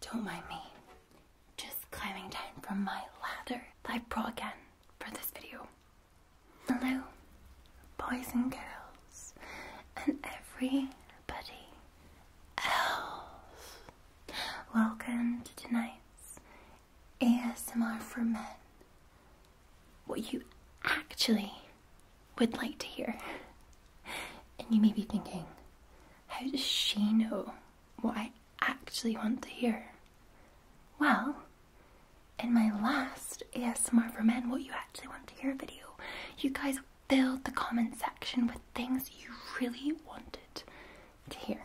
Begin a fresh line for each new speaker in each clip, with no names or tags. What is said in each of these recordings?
Don't mind me. Just climbing down from my ladder I brought again for this video. Hello, boys and girls, and everybody else. Welcome to tonight's ASMR for Men. What you actually would like to hear. And you may be thinking, how does she know what I actually want to hear? Well, in my last ASMR for Men What You Actually Want to Hear video, you guys filled the comment section with things you really wanted to hear.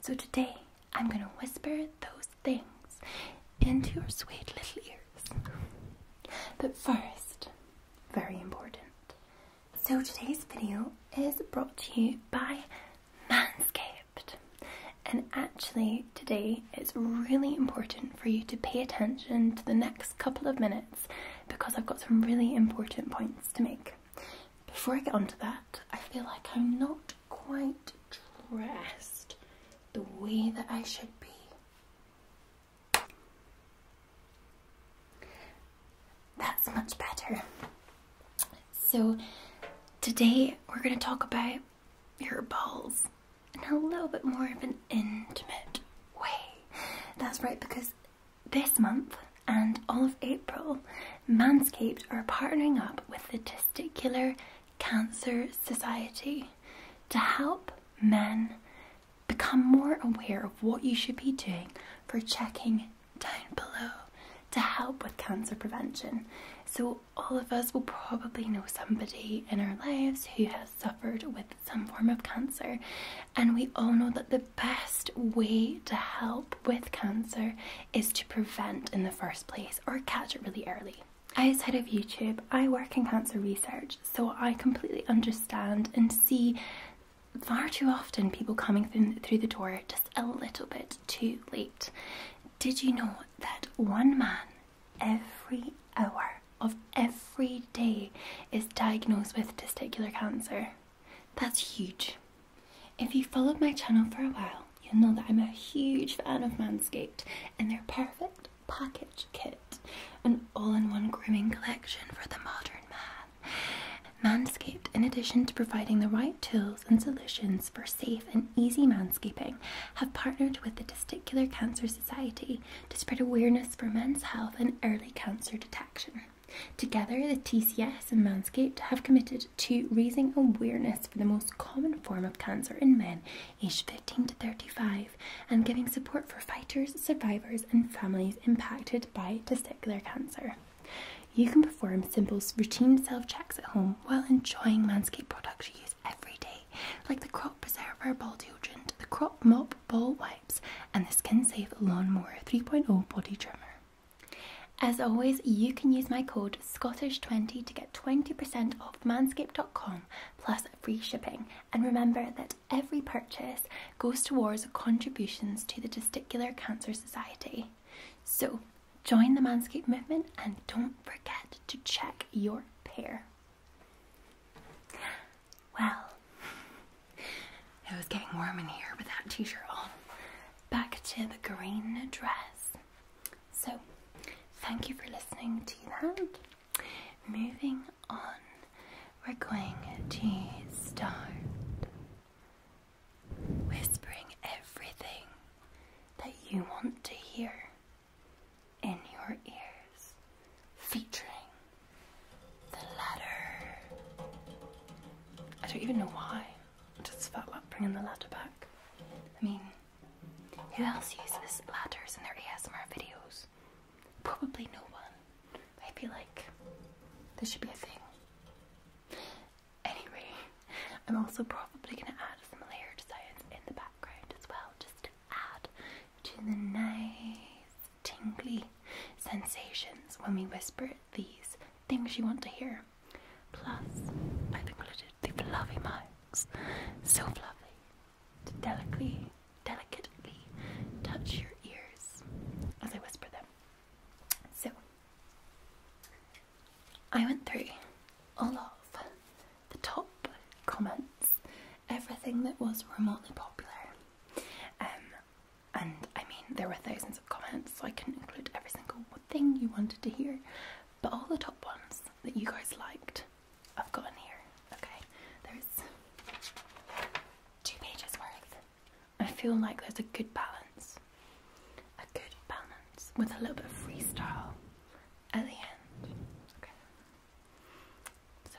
So today, I'm going to whisper those things into your sweet little ears. But first, very important. So today's video is brought to you by Manscaped. And actually today it's really important for you to pay attention to the next couple of minutes because I've got some really important points to make. Before I get onto that, I feel like I'm not quite dressed the way that I should be. That's much better. So, today we're going to talk about your balls in a little bit more of an intimate way. That's right, because this month and all of April, Manscaped are partnering up with the Testicular Cancer Society to help men become more aware of what you should be doing for checking down below to help with cancer prevention. So, all of us will probably know somebody in our lives who has suffered with some form of cancer, and we all know that the best way to help with cancer is to prevent in the first place or catch it really early. Outside of YouTube, I work in cancer research so I completely understand and see far too often people coming through the door just a little bit too late. Did you know that one man every hour of every day is diagnosed with testicular cancer? That's huge. If you followed my channel for a while, you'll know that I'm a huge fan of Manscaped and they're perfect Cat Package Kit, an all in one grooming collection for the modern man. Manscaped, in addition to providing the right tools and solutions for safe and easy manscaping, have partnered with the Testicular Cancer Society to spread awareness for men's health and early cancer detection. Together, the TCS and Manscaped have committed to raising awareness for the most common form of cancer in men aged 15 to 35 and giving support for fighters, survivors, and families impacted by testicular cancer. You can perform simple routine self checks at home while enjoying Manscaped products you use every day, like the Crop Preserver Ball Detergent, the Crop Mop Ball Wipes, and the Skin Safe Lawnmower 3.0 Body Trimmer. As always, you can use my code SCOTTISH20 to get 20% off manscaped.com plus free shipping. And remember that every purchase goes towards contributions to the Testicular Cancer Society. So join the Manscaped movement and don't forget to check your pair. Well, it was getting warm in here with that t shirt on. Back to the green dress. So, thank you for listening to that. Moving on, we're going to start whispering everything that you want to hear in your ears, featuring the ladder. I don't even know why. I just felt like bringing the ladder back. I mean, who else uses ladders in their ASMR videos? Probably no one. I feel like this should be a thing. Anyway, I'm also probably going to add some layered sounds in the background as well, just to add to the nice tingly sensations when we whisper these things you want to hear. Plus, I've included the fluffy mics. So fluffy, to delicately, delicately touch your ears as I whisper them. So, I went through all of the top comments, everything that was remotely popular. Um, and I mean, there were thousands of comments, so I couldn't include every single thing you wanted to hear, but all the top ones that you guys liked I've got in here. Okay, there's two pages worth. I feel like there's a good balance. A good balance with a little bit of freestyle at the end. Okay. So.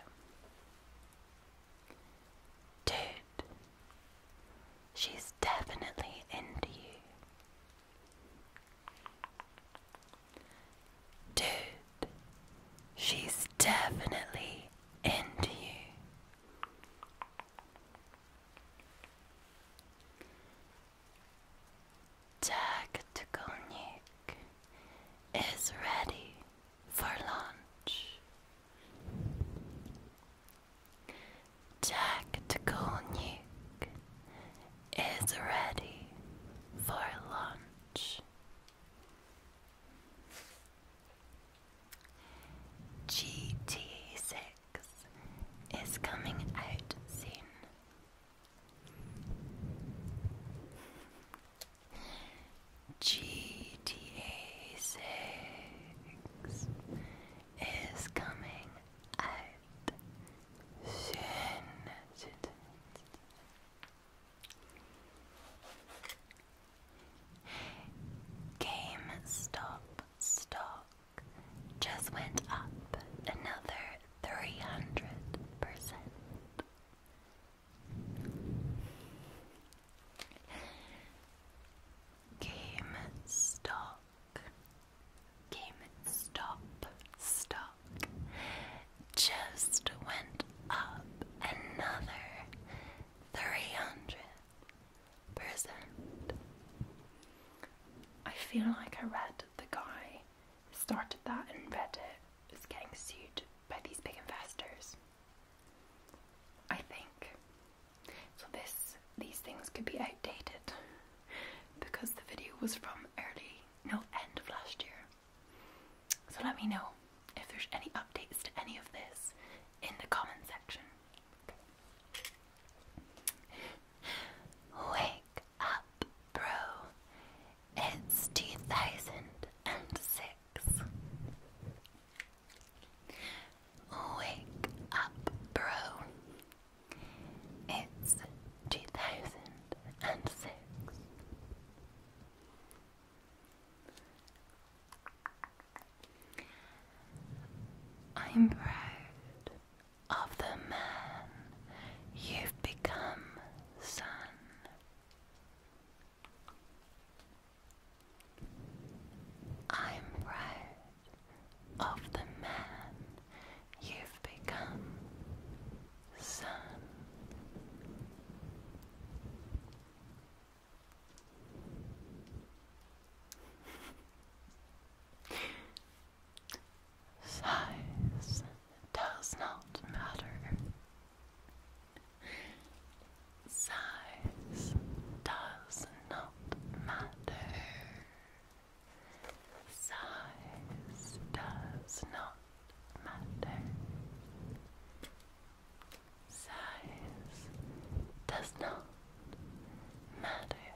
Dude, she's definitely into you. Dude, she's definitely into you. Tactical Nuke is ready for launch. Tactical Nuke is ready for launch. GT6 is coming out soon. GTA 6 is coming out soon. GameStop stock just went up another 300%. GameStop GameStop stock just went up another 300%. I feel like I read the guy started that and Reddit is getting sued by these big investors. I think. So this these things could be outdated because the video was from early no end of last year. So let me know if there's any updates to any of this in the comment section. Wake up, bro. It's 2006. Wake up, bro. It's 2006. I'm proud of the man you've become, son. I'm proud of the man you've become, sun. Size does not matter. Size does not matter. Size does not matter. Size does not matter.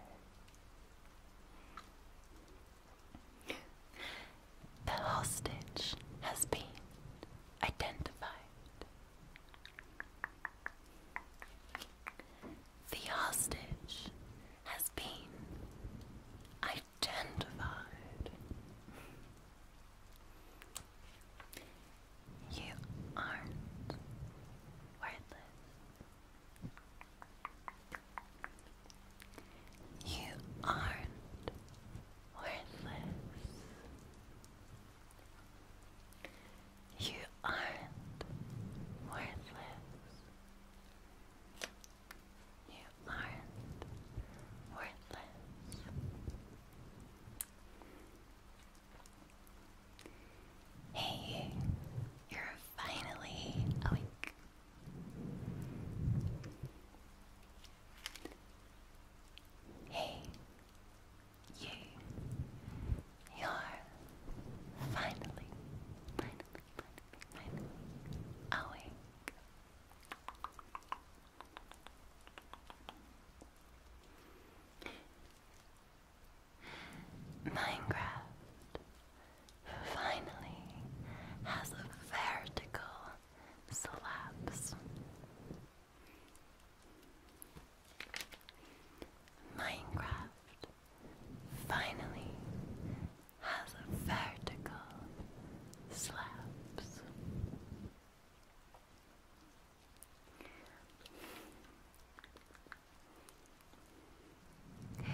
The hostage has been identified. The hostage has been identified. You aren't worthless. You aren't worthless. You aren't worthless. You are worthless. Hey, you're finally awake. Hey, you. You're finally, finally, finally, finally awake. Minecraft finally has a vertical slabs. Minecraft finally has vertical slabs. New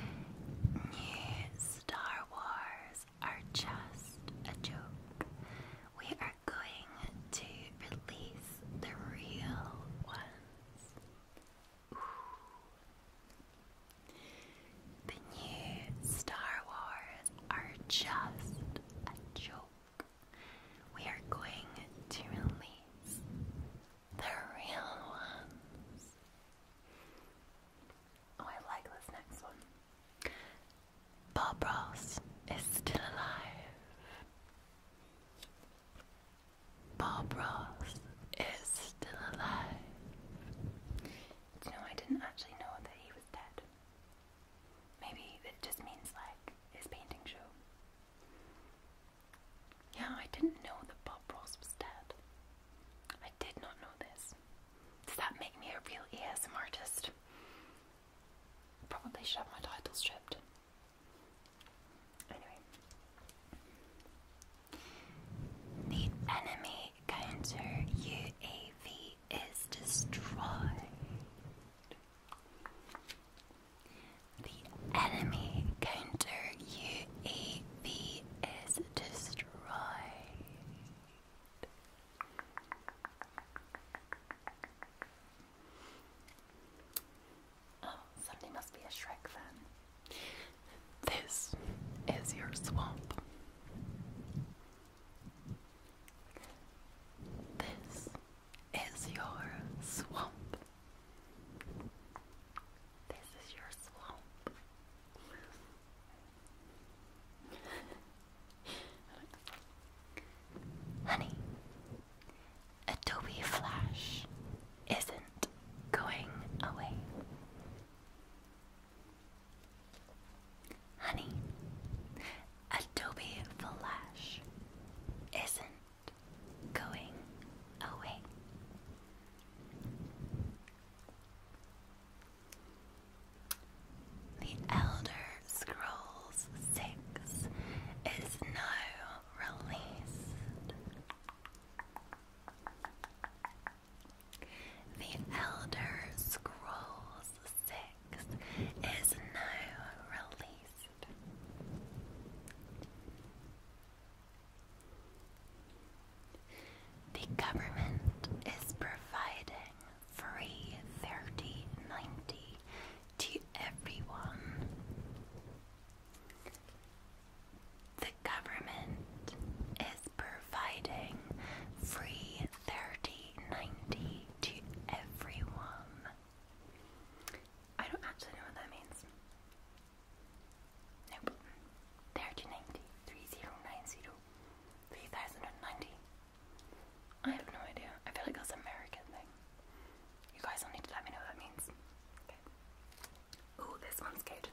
Star Wars are just a joke. We are going to release the real ones. The new Star Wars are just a joke. We are going to release the real ones. Oh, I like this next one. Bob Ross is still alive. Bob Ross is still alive. Do I didn't actually know that he was dead. Maybe it just means like his painting show. Yeah, I didn't know that Bob Ross was dead. I did not know this. Does that make me a real ASM artist? Probably should have my title stripped. Anyway. The enemy counter UAV is destroyed. The enemy counter UAV is destroyed. Oh, somebody must be a Shrek fan. This is your swamp. This is your swamp. This is your swamp. Honey, Adobe Flash isn't going away. Honey, Adobe Flash isn't going away. The Elder Scrolls 6 is now released. The Elder Scrolls 6 is now released. The government is providing free 3090 to everyone. The government is providing free 3090 to everyone. I don't actually know what that means. Nope. 3090, 3090, 3090. I have no idea. I feel like that's American thing. You guys will need to let me know what that means. Okay. this one's good.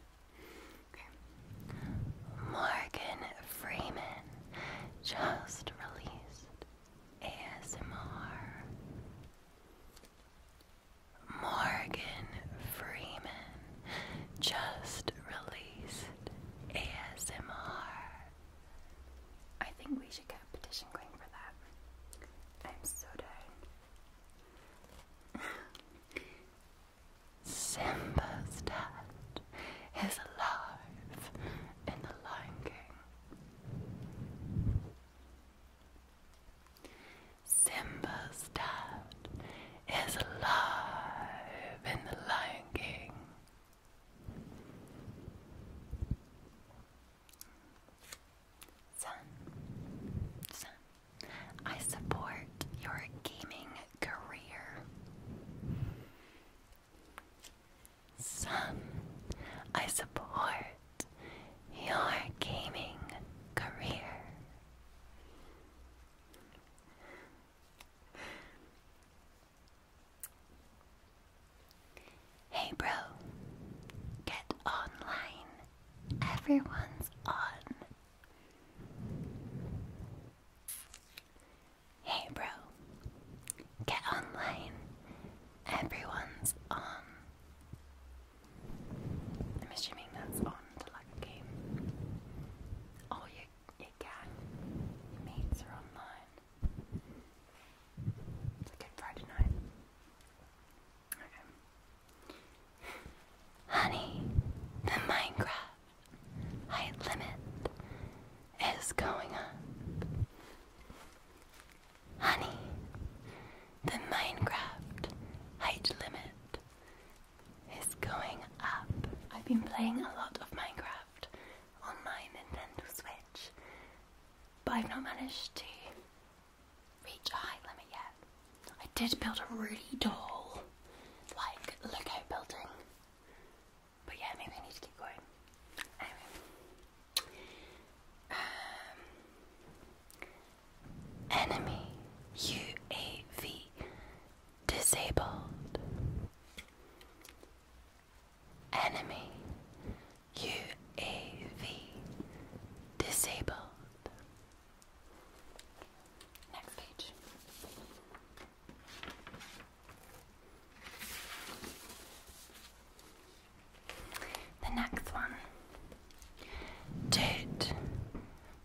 Morgan Freeman just released ASMR. Morgan Freeman just released ASMR. I think we should get a petition going for that. I'm so down. Simba's dad is alive in the Lion King. Simba's dad is alive in the Lion King. Son, son, I support your gaming career. Some, I support your gaming career. Hey, bro, get online. Everyone's on. Hey, bro. Get online. Everyone's on. I'm assuming on the like game. your, your gang, mates are online. It's a good Friday night. Okay. Honey, the Minecraft height limit is going up. Honey, the Minecraft height limit is going up. I've been playing a lot of Minecraft on my Nintendo Switch, but I've not managed to reach a height limit yet. I did build a really tall like Lego building. But yeah, maybe I need to keep going. Anyway. Um, enemy UAV disabled. Enemy UAV disabled. Next page. The next one. Dude,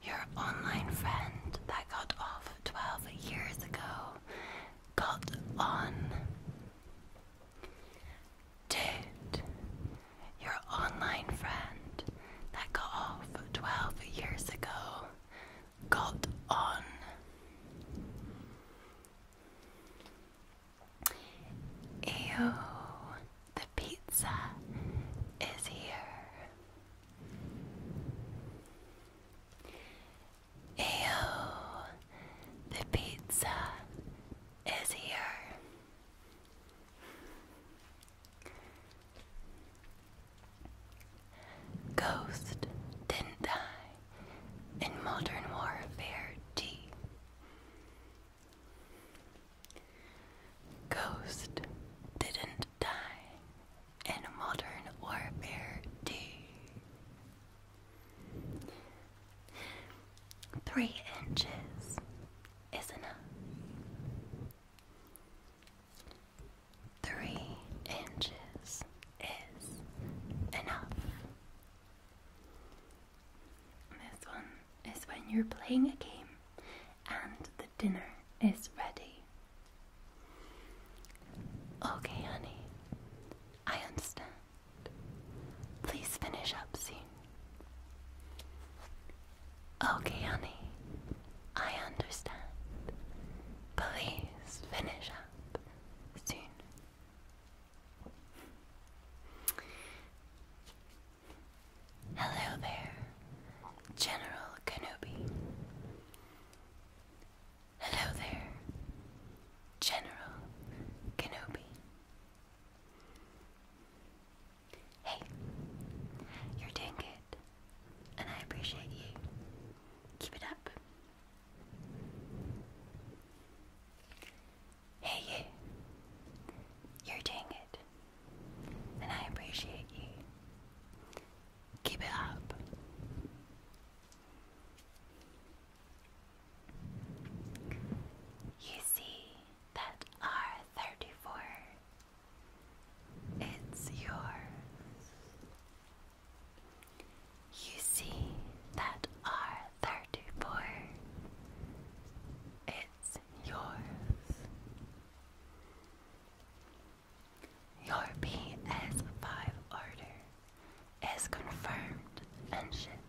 your online friend that got off 12 years ago got on. Dude, your online friend that got off 12 years ago got on. Ew, the pizza is here. Ew, the pizza is here. Ghost didn't die in modern warfare T. Ghost didn't die in modern warfare D. Three inches is enough. Three inches is enough. This one is when you're playing a game and the dinner is ready. Okay, honey, I understand. Please finish up soon. Okay, honey, I understand. Please finish up soon. Hello there, General Kenobi. Hello there, General Kenobi. Hey, you're doing it. And I appreciate you. Keep it up. Hey, you. You're doing it. And I appreciate you. Keep it up. You see that R34 it's yours. You see that R34? It's yours. Your PS5 order is confirmed and shipped.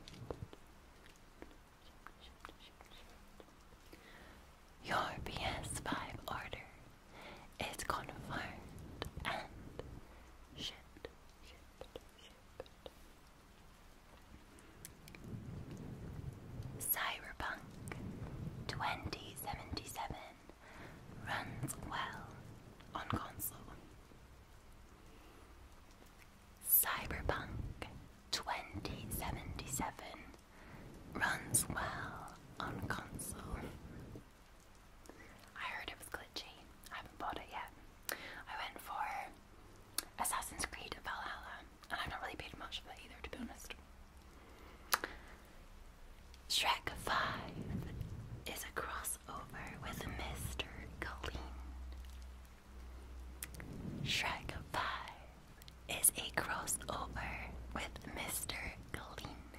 Your PS5 order it's confirmed and shit. Cyberpunk 2077 runs well on console. Cyberpunk 2077 runs well on console. I heard it was glitchy. I haven't bought it yet. I went for Assassin's Creed Valhalla, and I've not really paid much for that either, to be honest. Shrek 5 is a crossover with Mr. Colleen. Shrek 5 is a crossover with Mr. Clean.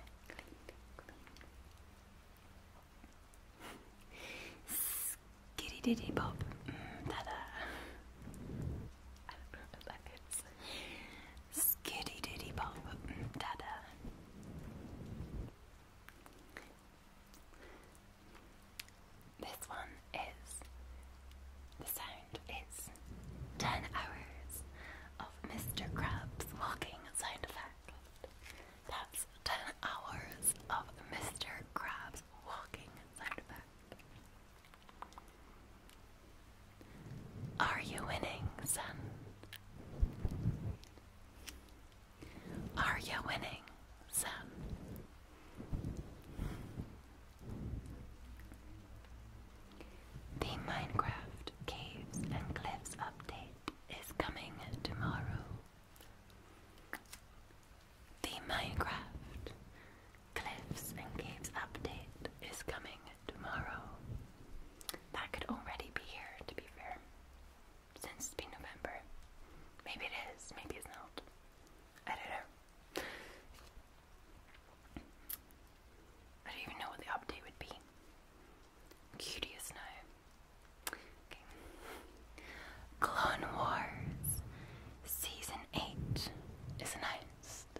Skitty diddy pop. Mm, da da. I diddy pop. Mm, da da. This one is the sound is 10 hours of Mr. Krabs walking sound effect. That's 10 hours of Mr. Krabs walking sound effect. Are you winning, son? Are you winning, son? The Minecraft Caves and Cliffs update is coming tomorrow. The Minecraft Cliffs and Caves update is coming tomorrow. That could already be here, to be fair, since it's been November. Maybe it is, maybe it's not. I don't know. I don't even know what the update would be. I'm Okay. Clone Wars Season 8 is announced.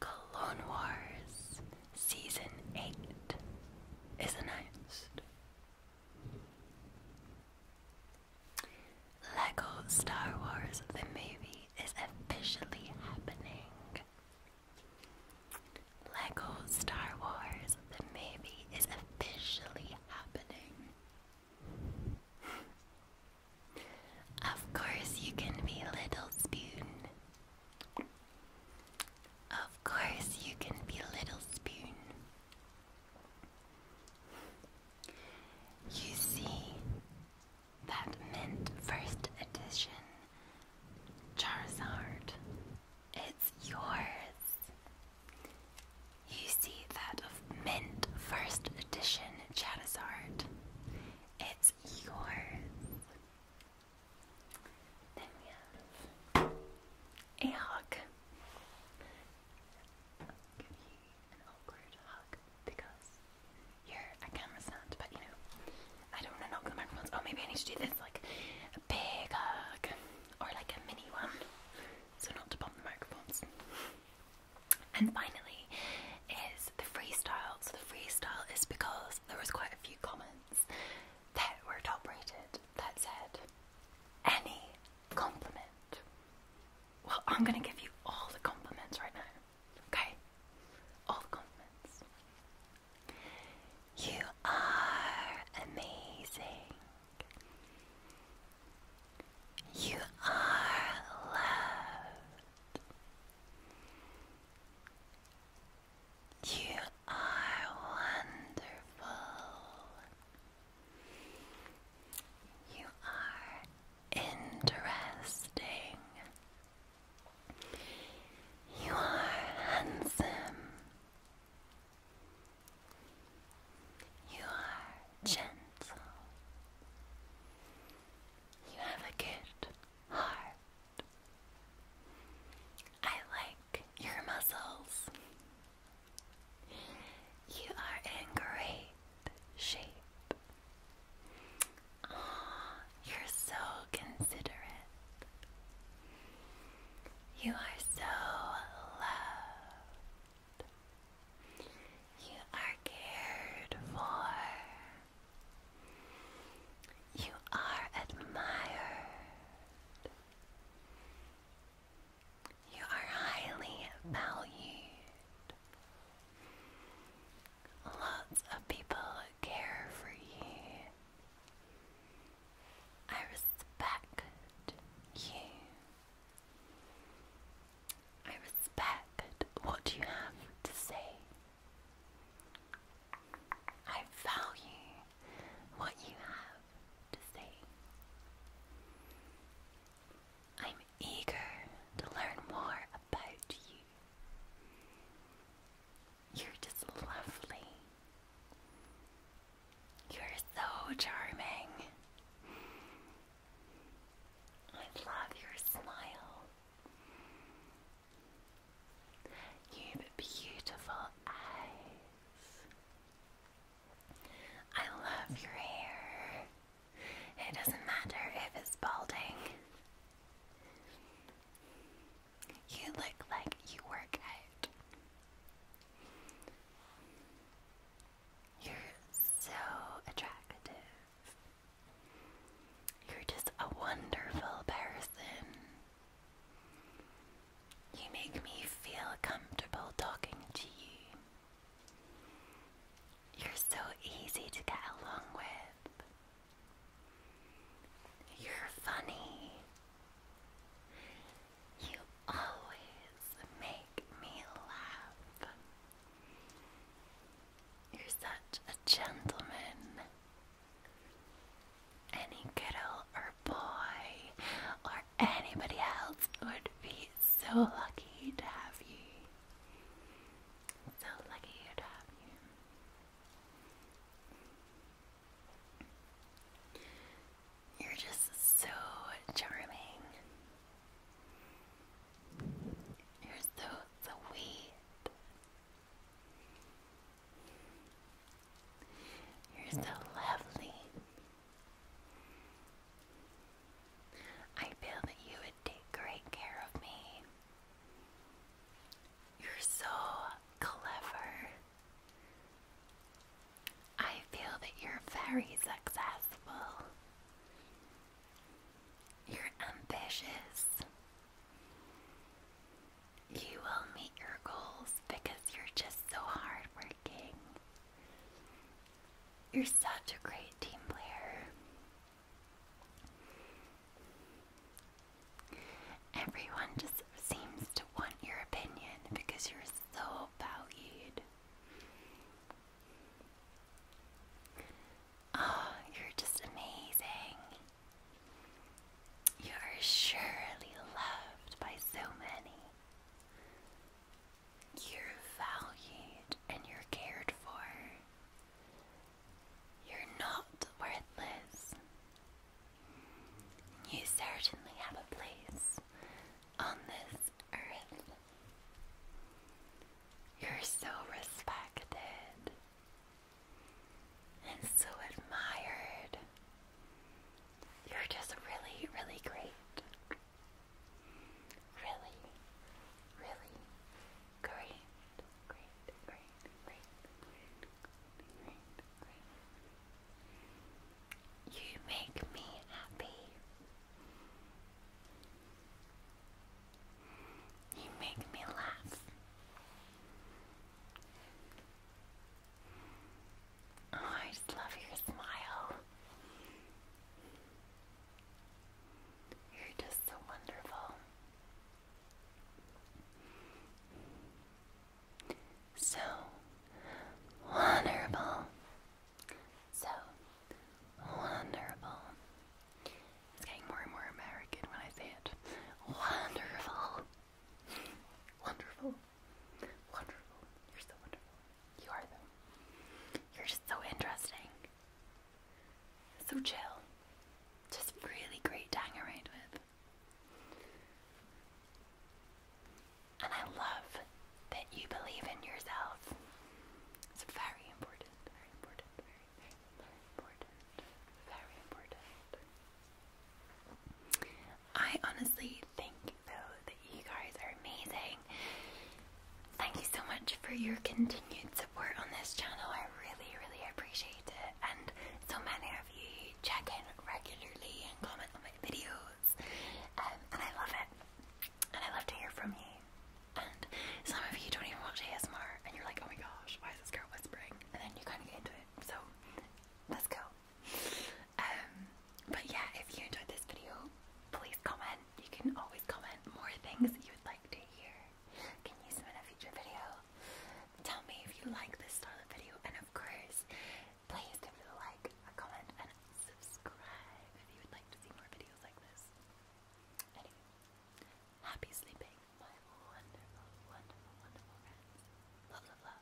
Clone Wars Season 8 is announced. Lego Star Wars the movie is officially happening. Lego Star Wars The Maybe is officially happening. of course, you can be Little Spoon. Of course, you can be Little Spoon. You see, that mint first edition Charizard. It's yours. You see that mint first edition Charizard. It's yours. Then we have a hawk an awkward hug because your a camera's not, but you know, I don't want to knock the microphones. Oh, maybe I need to do this like a big hug or like a mini one, so not to bump the microphones. And finally, is the freestyle. So the freestyle is because there was quite a few comments that were top rated that said any compliment. Well, I'm gonna give you all the compliments right now. Okay? All the You are amazing. You are loved. You are wonderful. You are Interesting. You are handsome. You are gentle. You have a good heart. I like your muscles. You are angry shape. Ah, you're so considerate. You are so loved. You are cared for. You are admired. You are highly valued. Lots of people care for you. I respect you. I respect what you have to say. I value what you have to say. I'm eager to learn more about you. You're just lovely. You're so charming. I love your smile. You've beautiful eyes. I love your hair. It doesn't matter if it's balding. You look like you work out. You're so attractive. You're just a wonderful person. You make me feel comfortable talking to you. You're so easy to get along with. You're funny. You always make me laugh. You're such a gentleman. Any girl or boy or anybody else would be so lucky to have you. So lucky to have you. You're just so charming. You're so sweet. You're so lovely. I feel that you would take great care of me. You're so clever. I feel that you're very successful. You're ambitious. You will meet your goals because you're just so hardworking. You're such a great team player. Everyone just seems to want your opinion because you're so valued. Oh, you're just amazing. You are surely loved by so many. You're valued and you're cared for. You're not worthless. You certainly have a place on this earth. You're so respected and so admired. You're just really, really great. Really, really, Great, great, great, great, great, great, You make me happy. You make me laugh. Oh, I just love your smile. You're just so wonderful. So wonderful. So wonderful. It's getting more and more American when I say it. Wonderful. wonderful. Wonderful. You're so wonderful. You are, You're just so interesting. So chill. Just really great to hang around with. And I love that you believe in yourself. It's very important, very important, very, very, important, very important. I honestly think though that you guys are amazing Thank you so much for your continued support on this channel. I really, really appreciate it. And so many of you check in regularly and comment on my videos. Um, and I love it. And I love to hear from you. And some of you don't even watch ASMR and you're like, oh my gosh, why is this girl whispering? And then you kind of get into it. So let's go. Um, but yeah, if you enjoyed this video, please comment. You can always comment more things you would like to hear can use them a future video. Tell me if you like this toilet video, and of course, please give it a like, comment, and subscribe if you would like to see more videos like this. Anyway, happy sleeping, my wonderful, wonderful, wonderful friends. love, love.